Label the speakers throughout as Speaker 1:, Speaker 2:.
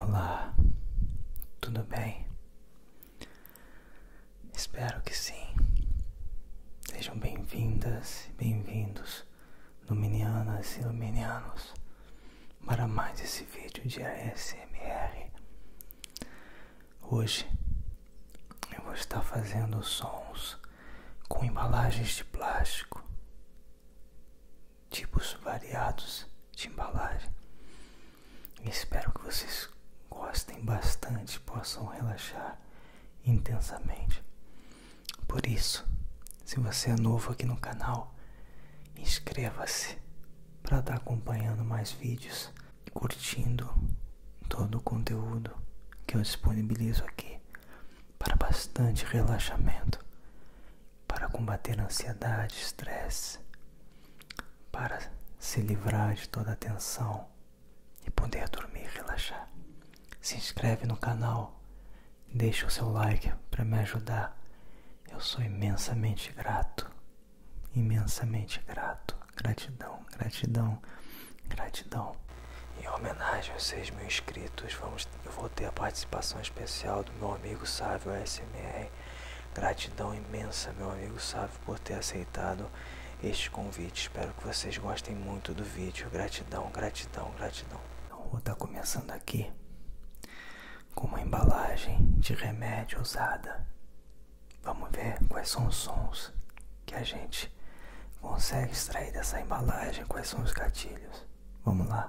Speaker 1: Olá, tudo bem? Espero que sim. Sejam bem-vindas e bem-vindos, Luminianas e Luminianos, para mais esse vídeo de ASMR. Hoje eu vou estar fazendo sons com embalagens de plástico tipos variados de embalagem. Espero que vocês gostem bastante, possam relaxar intensamente. Por isso, se você é novo aqui no canal, inscreva-se para estar tá acompanhando mais vídeos e curtindo todo o conteúdo que eu disponibilizo aqui para bastante relaxamento para combater ansiedade, estresse, para se livrar de toda a tensão e poder dormir e relaxar. Se inscreve no canal, deixa o seu like para me ajudar. Eu sou imensamente grato, imensamente grato. Gratidão, gratidão, gratidão. Em homenagem aos 6 mil inscritos, vamos, eu vou ter a participação especial do meu amigo Sávio SMR Gratidão imensa, meu amigo Sávio, por ter aceitado este convite. Espero que vocês gostem muito do vídeo. Gratidão, gratidão, gratidão. Então, vou estar tá começando aqui com uma embalagem de remédio usada. Vamos ver quais são os sons que a gente consegue extrair dessa embalagem, quais são os gatilhos. Vamos lá.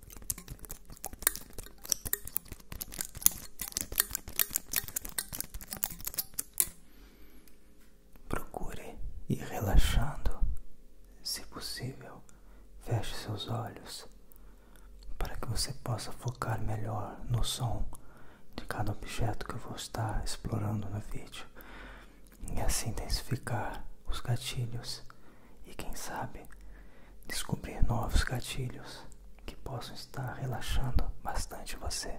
Speaker 1: Procure ir relaxando, se possível, feche seus olhos para que você possa focar melhor no som de cada objeto que eu vou estar explorando no vídeo e assim intensificar os gatilhos e quem sabe descobrir novos gatilhos que possam estar relaxando bastante você.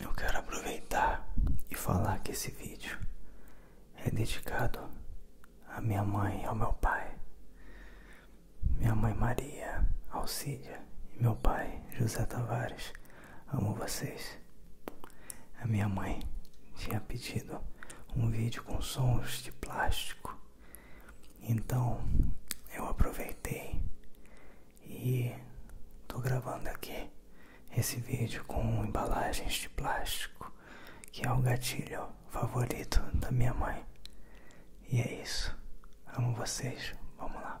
Speaker 1: Eu quero aproveitar e falar que esse vídeo é dedicado à minha mãe e ao meu pai. Minha mãe Maria Alcídia e meu pai José Tavares. Amo vocês. A minha mãe tinha pedido um vídeo com sons de plástico. Então eu aproveitei e tô gravando aqui esse vídeo com embalagens de plástico, que é o gatilho favorito da minha mãe. E é isso. Amo vocês. Vamos lá.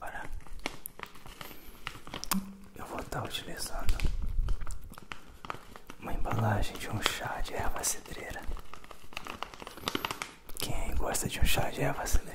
Speaker 1: Olha, eu vou estar utilizando uma embalagem de um chá de erva cedreira. Quem gosta de um chá de erva cedreira?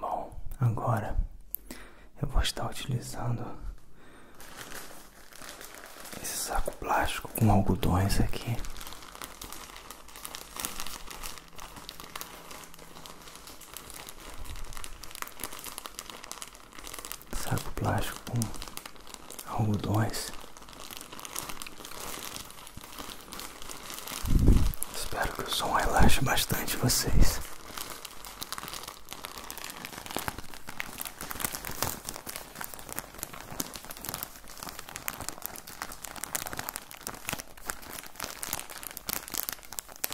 Speaker 1: Bom, agora eu vou estar utilizando esse saco plástico com algodões aqui saco plástico com algodões. Espero que o som relaxe bastante vocês.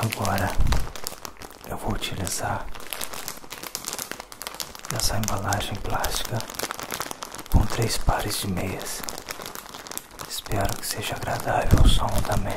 Speaker 1: Agora eu vou utilizar essa embalagem plástica com três pares de meias. Espero que seja agradável o som também.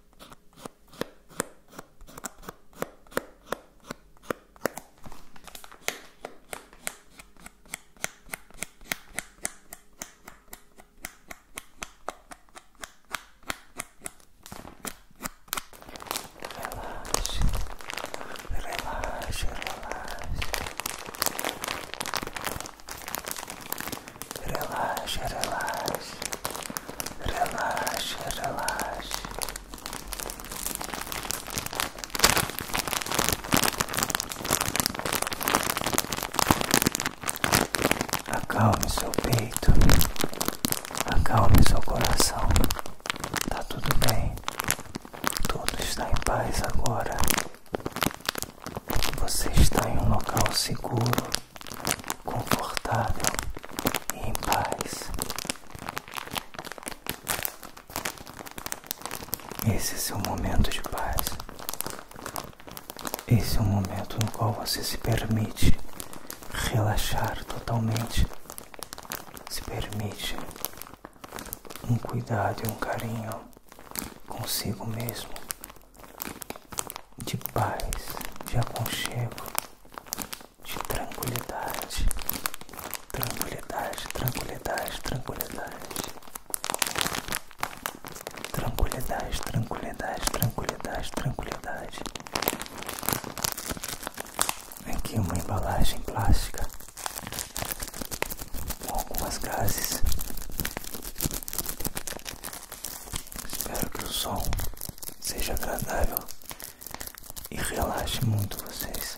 Speaker 1: Relaxe, relaxe, relaxe. Relaxa, relaxa, relaxa, relaxa. Acalme seu peito, acalme seu coração. Tá tudo bem, tudo está em paz agora. Você está em um local seguro confortável e em paz. Esse é seu momento de paz. Esse é o momento no qual você se permite relaxar totalmente. Se permite um cuidado e um carinho consigo mesmo de paz, de aconchego, de tranquilidade, tranquilidade, tranquilidade, tranquilidade, tranquilidade, tranquilidade, tranquilidade, tranquilidade. Aqui uma embalagem plástica com algumas gases Espero que o som seja agradável e relaxe muito vocês.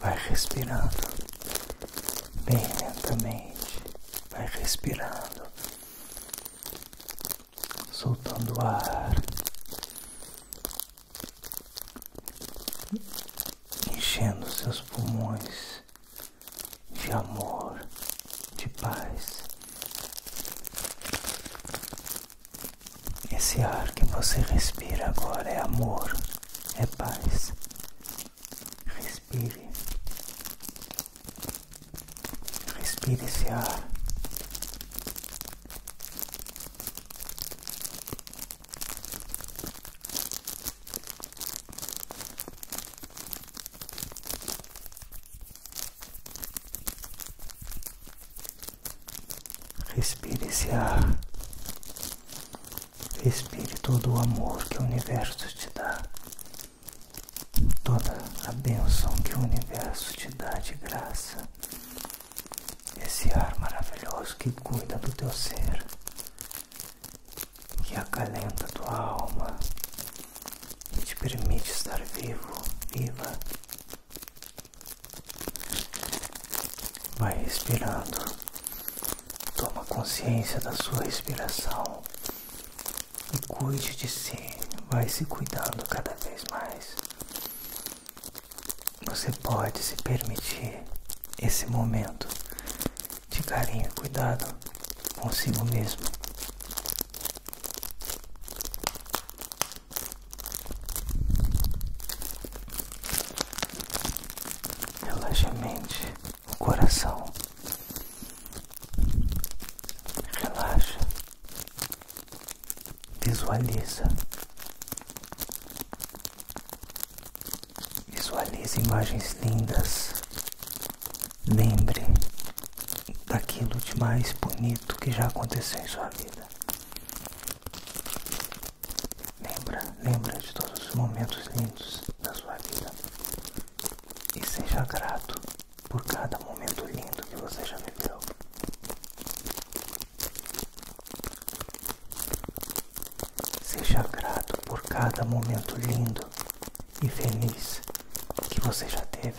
Speaker 1: Vai respirando bem lentamente, vai respirando, soltando ar enchendo seus pulmões de amor, de paz. Esse ar que você respira agora é amor, é paz. Respire. Respire esse ar. Respire esse ar. Respire todo o amor que o universo te dá. Toda a bênção que o universo te dá de graça esse ar maravilhoso que cuida do teu ser, que acalenta tua alma e te permite estar vivo, viva. Vai respirando, toma consciência da sua respiração e cuide de si, vai se cuidando cada vez mais você pode se permitir esse momento de carinho e cuidado consigo mesmo. Relaxa a mente, o coração. Relaxa. Visualiza. Visualize imagens lindas. Lembre daquilo de mais bonito que já aconteceu em sua vida. Lembra, lembre de todos os momentos lindos da sua vida. E seja grato por cada momento lindo que você já viveu. Seja grato por cada momento lindo e feliz que você já teve.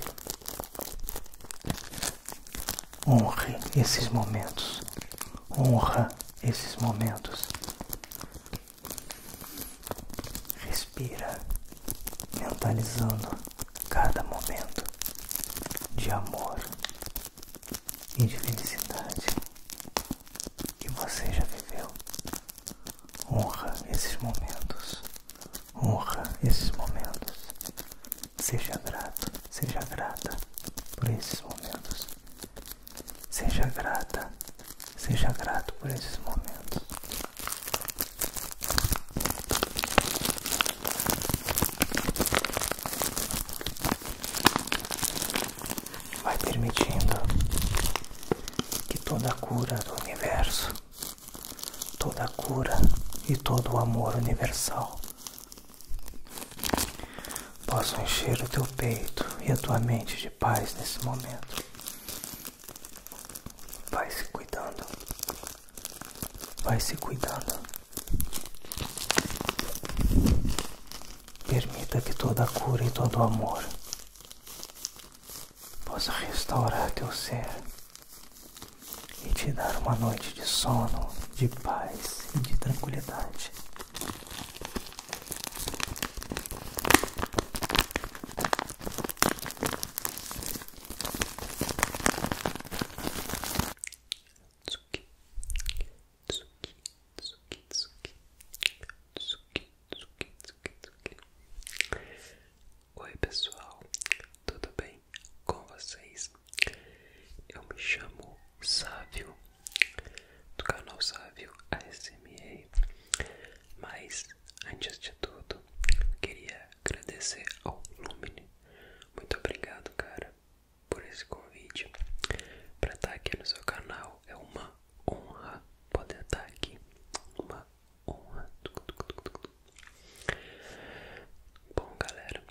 Speaker 1: Honre esses momentos. Honra esses momentos. Respira, mentalizando cada momento de amor e de felicidade que você já viveu. Honra esses momentos, honra esses momentos. Seja grato, seja grata por esses momentos. Seja grata, seja grato por esses momentos vai permitindo que toda a cura do universo, toda a cura e todo o amor universal possam encher o teu peito e a tua mente de paz nesse momento. Vai se cuidando, vai se cuidando. Permita que toda cura e todo amor possa restaurar teu ser e te dar uma noite de sono, de paz e de tranquilidade tsuki, tsuki, tsuki, tsuki, tsuki, tsuki, tsuki. Oi pessoal, tudo bem com vocês? Eu me chamo Sávio, do canal Sávio ASMR, mas antes de tudo, queria agradecer ao Lumine. Muito obrigado, cara por esse convite para estar tá aqui no seu canal. É uma honra poder estar tá aqui. Uma honra. Bom, galera,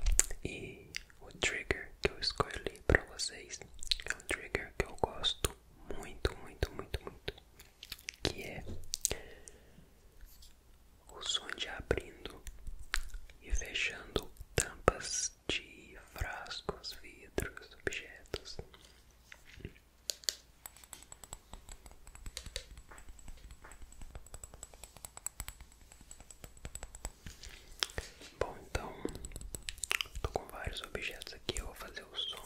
Speaker 1: e o trigger que eu escolhi para vocês é um trigger que eu gosto muito, muito, muito, muito, que é o som de abrindo e fechando tampas taças de frascos, vidros, objetos. Bom, então, estou com vários objetos aqui, eu vou fazer o som.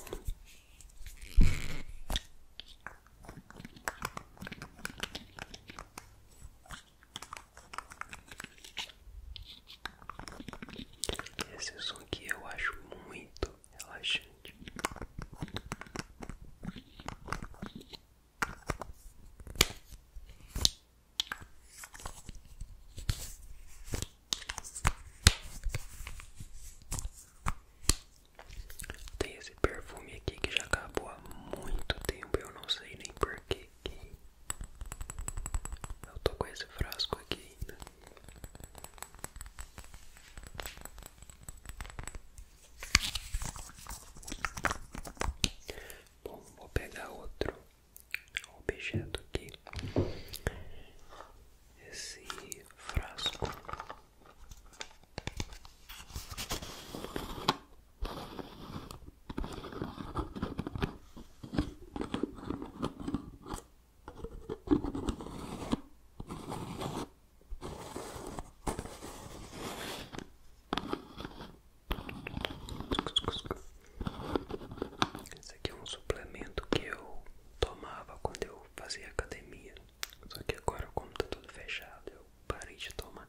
Speaker 1: Esse é som aqui eu acho muito relaxante. Tem esse perfume aqui que já acabou há muito tempo, eu não sei nem porquê aqui. Eu tô com esse frasco aqui ainda. Bom, vou pegar outro objeto aqui. Esse frasco. Esse aqui é um suplemento que eu tomava quando eu fazia academia. Só que agora, como tá tudo fechado, eu parei de tomar.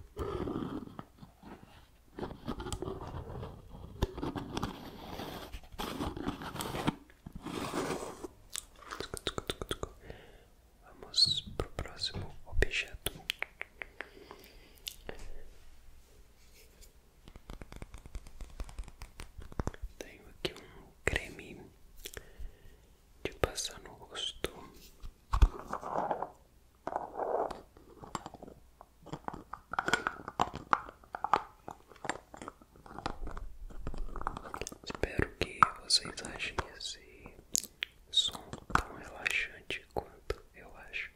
Speaker 1: Vamos pro próximo objeto. Tenho aqui um creme de passar no rosto. Espero que vocês achem esse som tão relaxante quanto eu acho.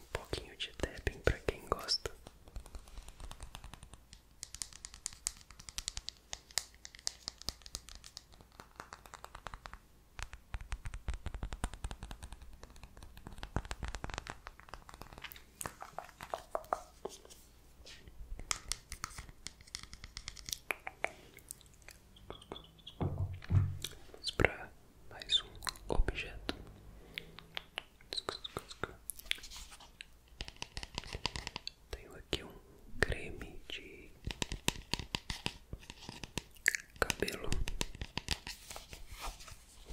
Speaker 1: Um pouquinho de tapping para quem gosta. Vamos para mais um objeto. Tenho aqui um creme de cabelo.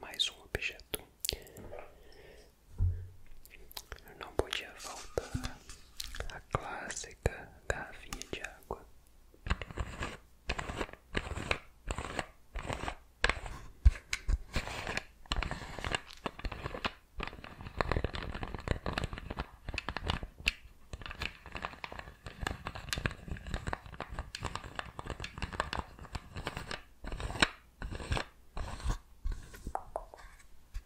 Speaker 1: Mais um objeto. Eu não podia voltar a clássica garrafinha de água.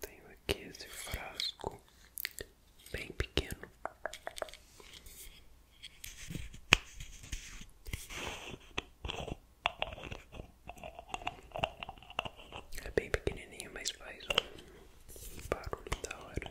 Speaker 1: Tenho aqui esse frasco bem pequeno. É bem pequenininho, mas faz um barulho da hora.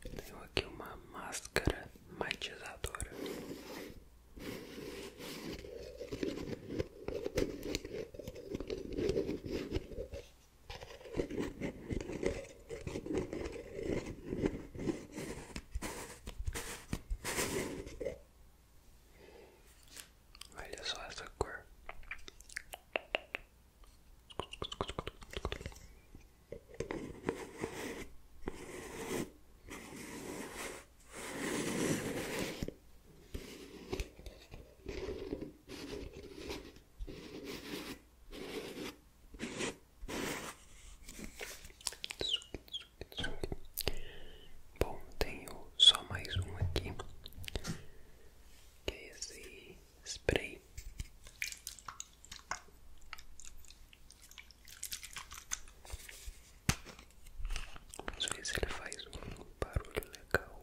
Speaker 1: Tenho aqui uma máscara matizadora. Olha só essa cor. Bom, tenho só mais um aqui, que é esse spray. Vamos ver se ele faz um barulho legal.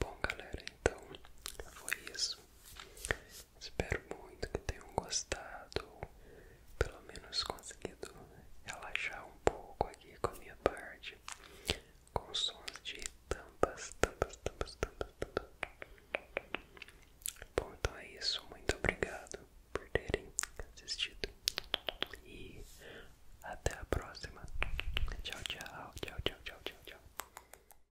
Speaker 1: Bom, galera, então foi isso. Espero muito que tenham gostado, pelo menos conseguido relaxar um pouco aqui com a minha parte, com sons de tampas, tampas, tampas, tampas, tampas. Bom, então é isso. Muito obrigado por terem assistido e até a próxima. tchau, tchau, tchau, tchau, tchau, tchau.